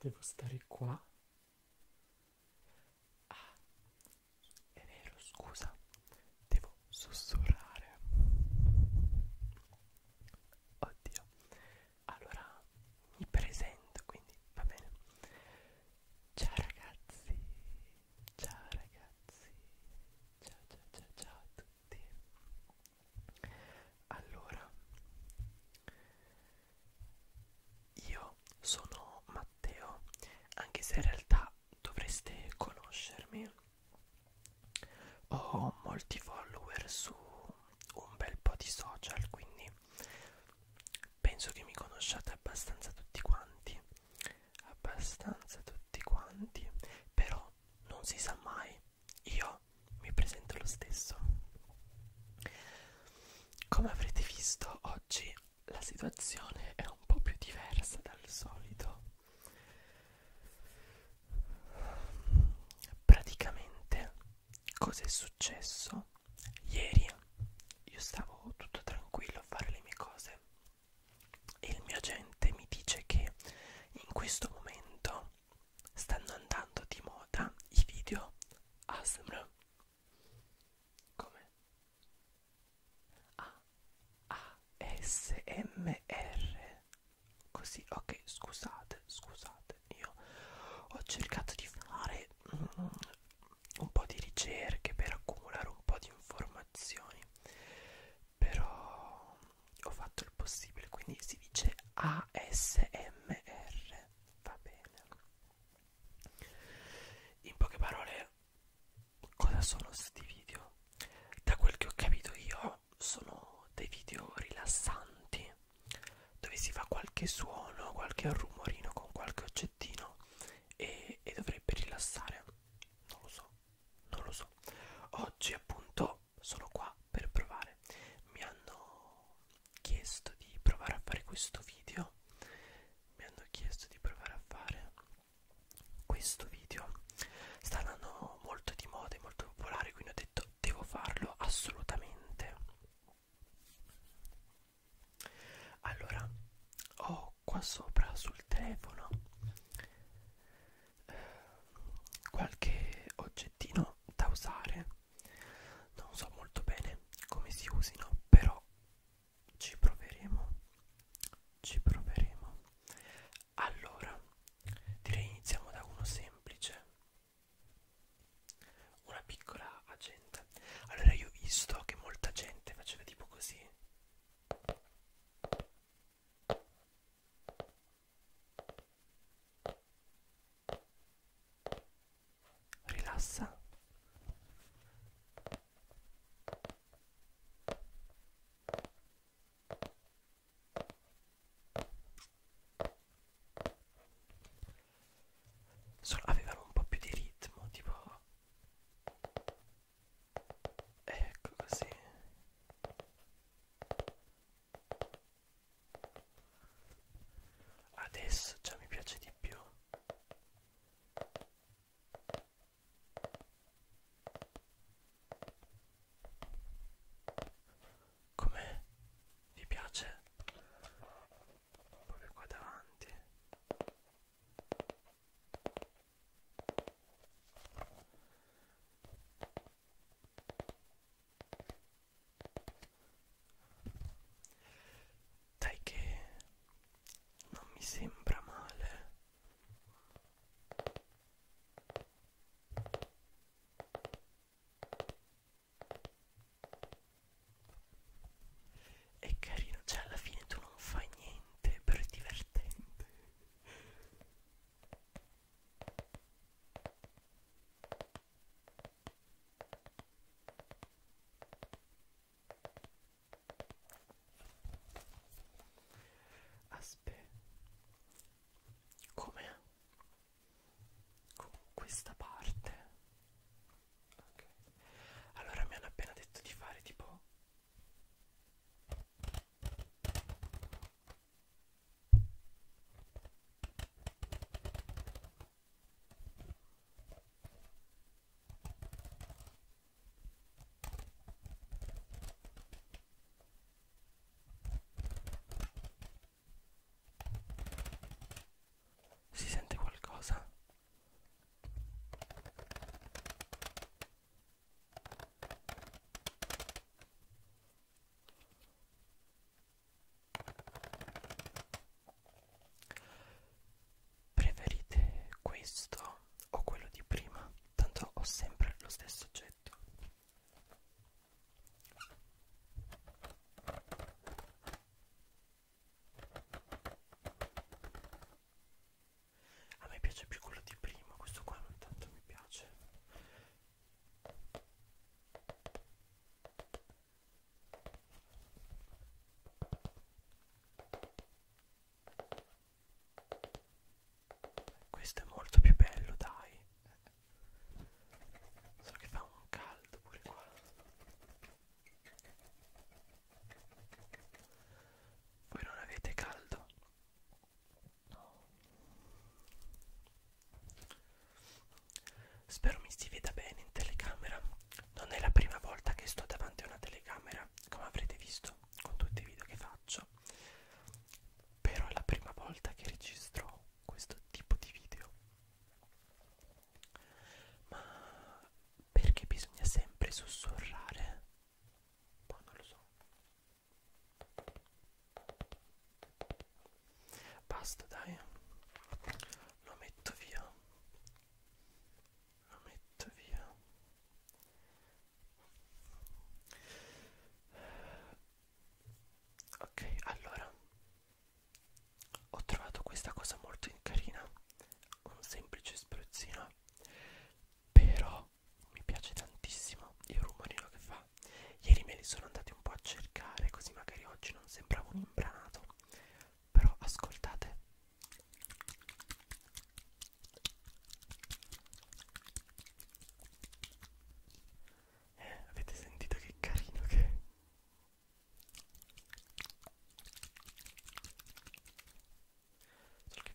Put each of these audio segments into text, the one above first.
Devo stare qua. Ah, è vero, scusa. Devo sussurrare. Oddio. Allora mi presento, quindi va bene. Ciao ragazzi. Ciao ragazzi. Ciao ciao ciao ciao a tutti. Allora, io sono Matteo, anche se in realtà dovreste conoscermi. Ho molti follower su un bel po' di social, quindi penso che mi conosciate abbastanza tutti quanti. Abbastanza tutti quanti, però non si sa mai, io mi presento lo stesso. Come avrete visto oggi la situazione è un po' più diversa dal solito. Praticamente cosa è successo? Ieri io stavo tutto tranquillo a fare le mie cose e il mio agente mi dice che in questo momento stanno andando di moda i video ASMR come A A S M R così ok scusate scusate io ho cercato di fare mm, un po' di ricerche per accumulare un po' di informazioni però ho fatto il possibile quindi si dice ASMR va bene in poche parole cosa sono questi video da quel che ho capito io sono dei video rilassanti dove si fa qualche suono qualche rumorino con qualche oggettino e, e dovrebbe rilassare non lo so non lo so oggi appunto sono qua per provare mi hanno chiesto di provare a fare questo video mi hanno chiesto di provare a fare questo video sta andando molto di moda e molto popolare quindi ho detto devo farlo assolutamente allora ho qua sopra sul telefono qualche oggettino da usare non so molto bene come si usino però ci proveremo ci proveremo allora direi iniziamo da uno semplice una piccola agenda allora io ho visto che molta gente faceva tipo così Rilassa. Solo avevano un po' più di ritmo, tipo ecco così adesso già mi piace di più Com'è? Vi piace? Proprio qua davanti. Dai che non mi sembra male. È carino, cioè alla fine tu non fai niente, però è divertente. Aspetta, come? Con questa parte? Ok, allora mi hanno appena detto di fare tipo si sente qualcosa? Preferite questo o quello di prima? Tanto ho sempre lo stesso oggetto. A me piace più quello di prima, questo qua non tanto mi piace. Questo è molto più bello, dai. So che fa un caldo pure qua. Voi non avete caldo? No. Spero mi si veda bene in telecamera. Non è la prima volta che sto davanti a una telecamera, come avrete visto con tutti i video che faccio. Però è la prima volta che registro questo tipo di video. Ma perché bisogna sempre sussurrare? Poi boh, non lo so. Basta, dai. Lo metto via. Lo metto via. Ok, allora ho trovato questa cosa molto carina, un semplice spruzzino però mi piace tantissimo il rumorino che fa ieri me li sono andati un po' a cercare così magari oggi non sembrava un imbranato però ascoltate eh, avete sentito che carino che è? Solo che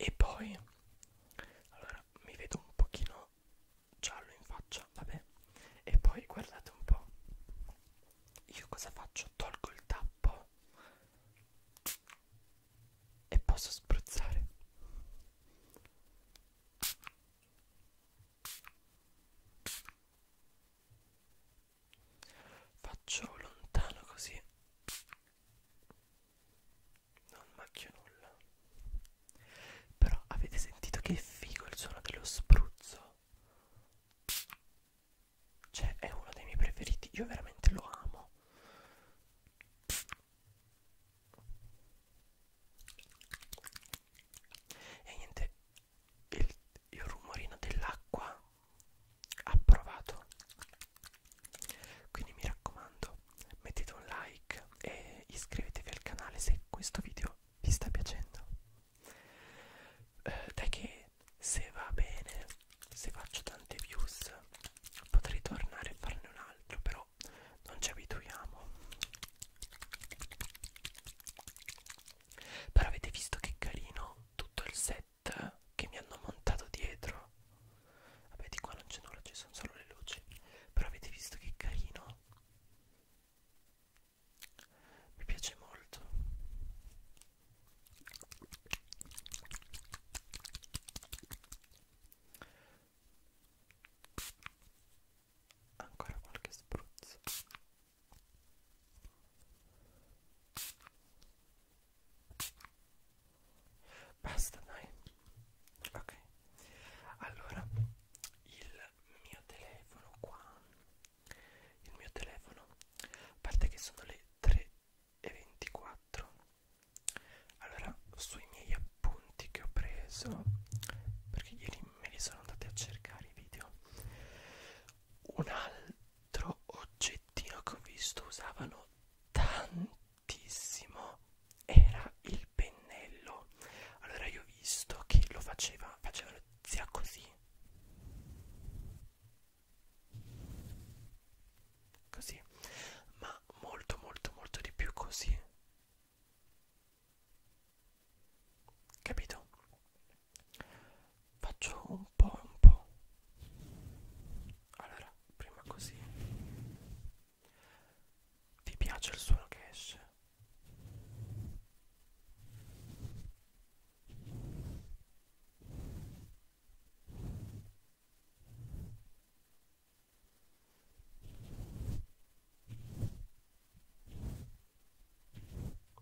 E poi, allora mi vedo un pochino giallo in faccia, vabbè. E poi guardate un po', io cosa faccio? Tolgo il tappo e posso spruzzare. Faccio lontano così. Non macchio nulla. Però avete sentito che figo il suono dello spruzzo? Cioè, è uno dei miei preferiti. Io veramente lo amo. E niente, il, il rumorino dell'acqua approvato quindi mi raccomando mettete un like e iscrivetevi al canale se questo video vi sta piacendo eh, dai che se va bene se faccio tante views potrei tornare a farne un altro però non ci abituiamo però avete visto che carino tutto il set che mi hanno montato dietro? Vabbè di qua non c'è nulla, ci sono solo le luci. Però avete visto che carino? Mi piace molto. Ancora qualche spruzzo. Basta, dai. Ok. Allora, il mio telefono qua. Il mio telefono. A parte che sono le 3.24. Allora, sui miei appunti che ho preso, perché ieri me li sono andati a cercare i video un altro oggettino che ho visto usavano tantissimo era il pennello allora io ho visto che lo faceva facevano sia così così ma molto molto molto di più così Capito? Faccio un po' un po'. Allora, prima così. Ti piace il suono che esce?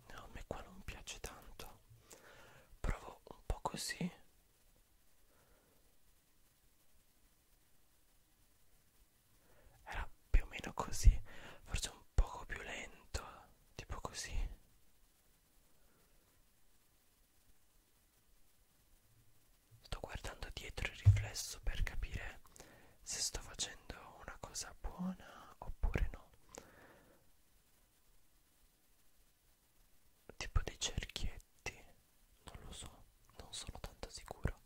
No, a me qua non piace tanto. Provo un po' così. Era più o meno così, forse un poco più lento, tipo così. Sto guardando dietro il riflesso per capire se sto facendo una cosa buona oppure no tipo dei cerchietti non lo so non sono tanto sicuro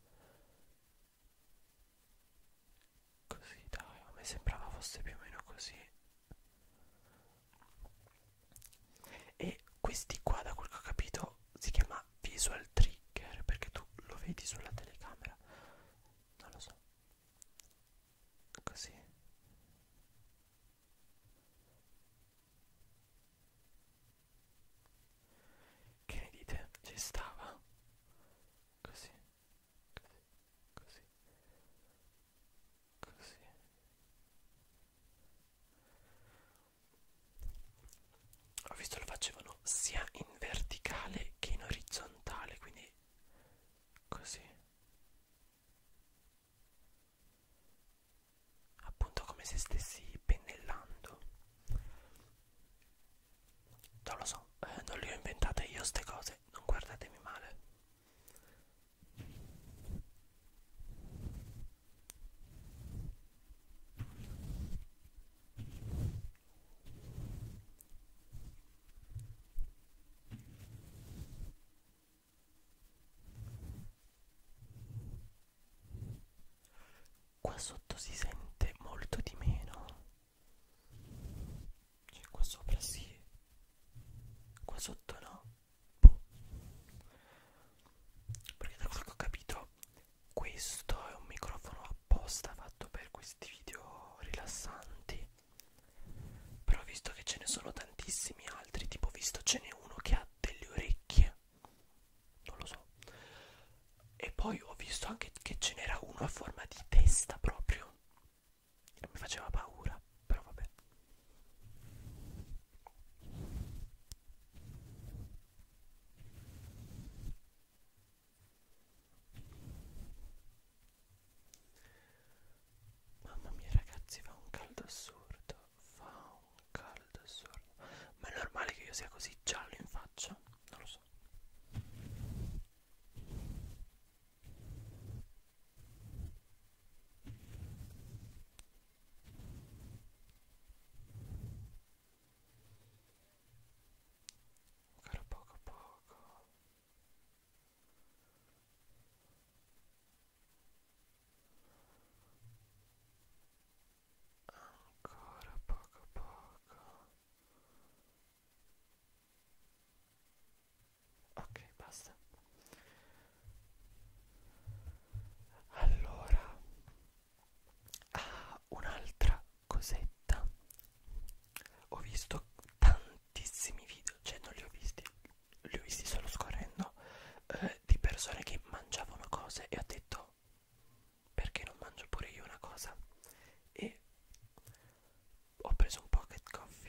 così dai a me sembrava fosse più o meno così e questi qua da quel che ho capito si chiama visual trigger perché tu lo vedi sulla telecamera non lo so così che ne dite? ci stava? così così così così ho visto lo facevano mano sia in verticale che in orizzontale quindi così appunto come se stessi pennellando non lo so eh, non le ho inventate io ste cose non guardatemi male Qua sotto si sente molto di meno. Cioè qua sopra sì. Qua sotto no. Boh. Perché da quello che ho capito questo è un microfono apposta fatto per questi video rilassanti però visto che ce ne sono tantissimi altri tipo visto ce n'è uno che ha delle orecchie non lo so e poi ho visto anche che ce n'era uno a forma di testa proprio mi faceva paura però vabbè Mamma mia ragazzi fa un caldo assurdo, fa un caldo assurdo. Ma è normale che io sia così giallo in faccia? Non lo so ancora poco a poco ancora poco a poco ok basta allora ah, un'altra cosetta ho visto tantissimi video cioè non li ho visti li ho visti solo scorrendo eh, di persone che mangiavano cose e ho detto perché non mangio pure io una cosa e ho preso un pocket coffee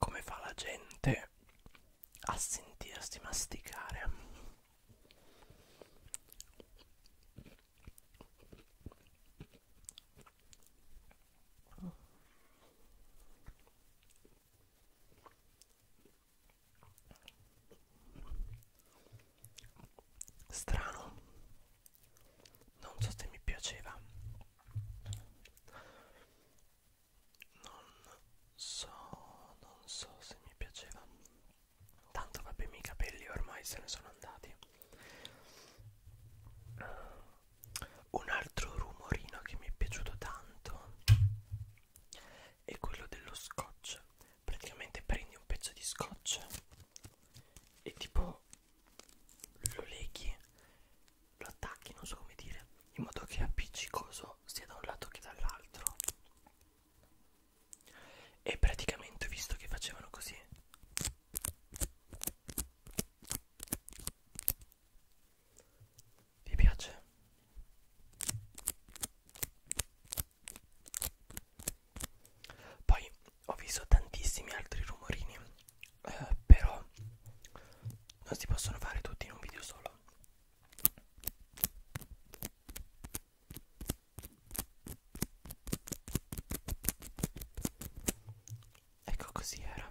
Come fa la gente a sentirsi masticare? Strano non so se mi piaceva non so non so se mi piaceva tanto vabbè i miei capelli ormai se ne sono andati un altro rumorino che mi è piaciuto tanto è quello dello scotch praticamente prendi un pezzo di scotch e tipo lo leghi, lo attacchi, non so come dire, in modo che è appiccicoso sia da un lato che dall'altro. E praticamente ho visto che facevano così. Vi piace? Poi ho visto tantissimi altri rumorini, eh, però non si possono fare tutti in un video solo. Ecco così era.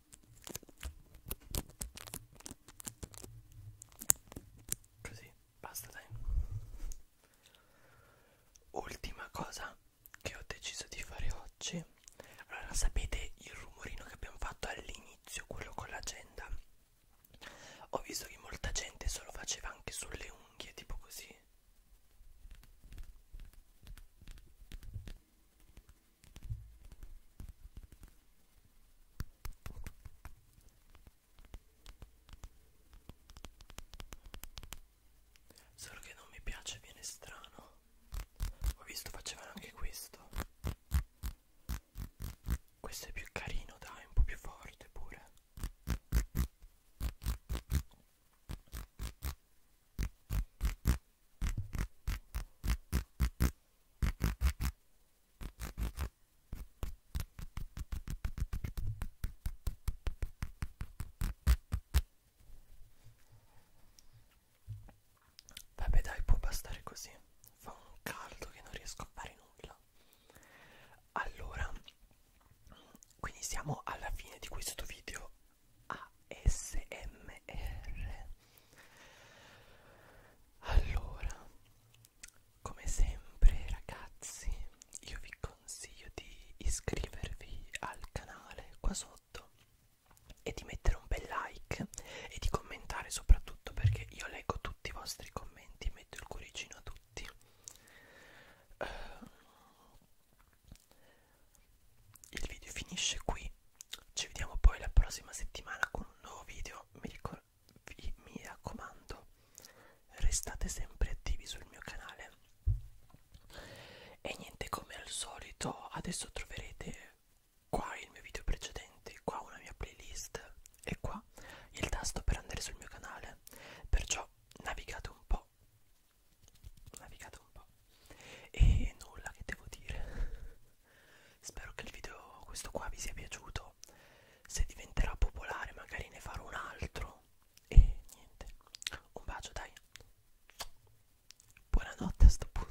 Così, basta dai. Ultima cosa che ho deciso di fare oggi. Allora, sapete il rumorino che abbiamo fatto all'inizio, quello con l'agenda? Ho visto che molta gente se lo faceva anche sulle unghie, tipo così. Solo che non mi piace, viene strano. Ho visto facevano anche questo. Questo è più carino, dai, un po' più forte pure. Vabbè dai, può bastare così. Fa un caldo che non riesco a fare nulla. Allora, quindi siamo alla fine di questo video ASMR. Allora, come sempre ragazzi, io vi consiglio di iscrivervi al canale qua sotto e di mettere un bel like e di commentare soprattutto perché io leggo tutti i vostri commenti, metto il cuoricino a tutti. Uh, il video finisce qui ci vediamo poi la prossima settimana con un nuovo video. Mi, vi, mi raccomando, restate sempre attivi sul mio canale. E niente, come al solito, adesso troverete qua il mio video precedente, qua una mia playlist e qua il tasto per andare sul mio canale. Perciò navigate un po'. Navigate un po'. E nulla che devo dire. Spero che il video questo qua vi sia piaciuto. Se diventerà popolare magari ne farò un altro. E niente. Un bacio dai. Buonanotte a sto punto.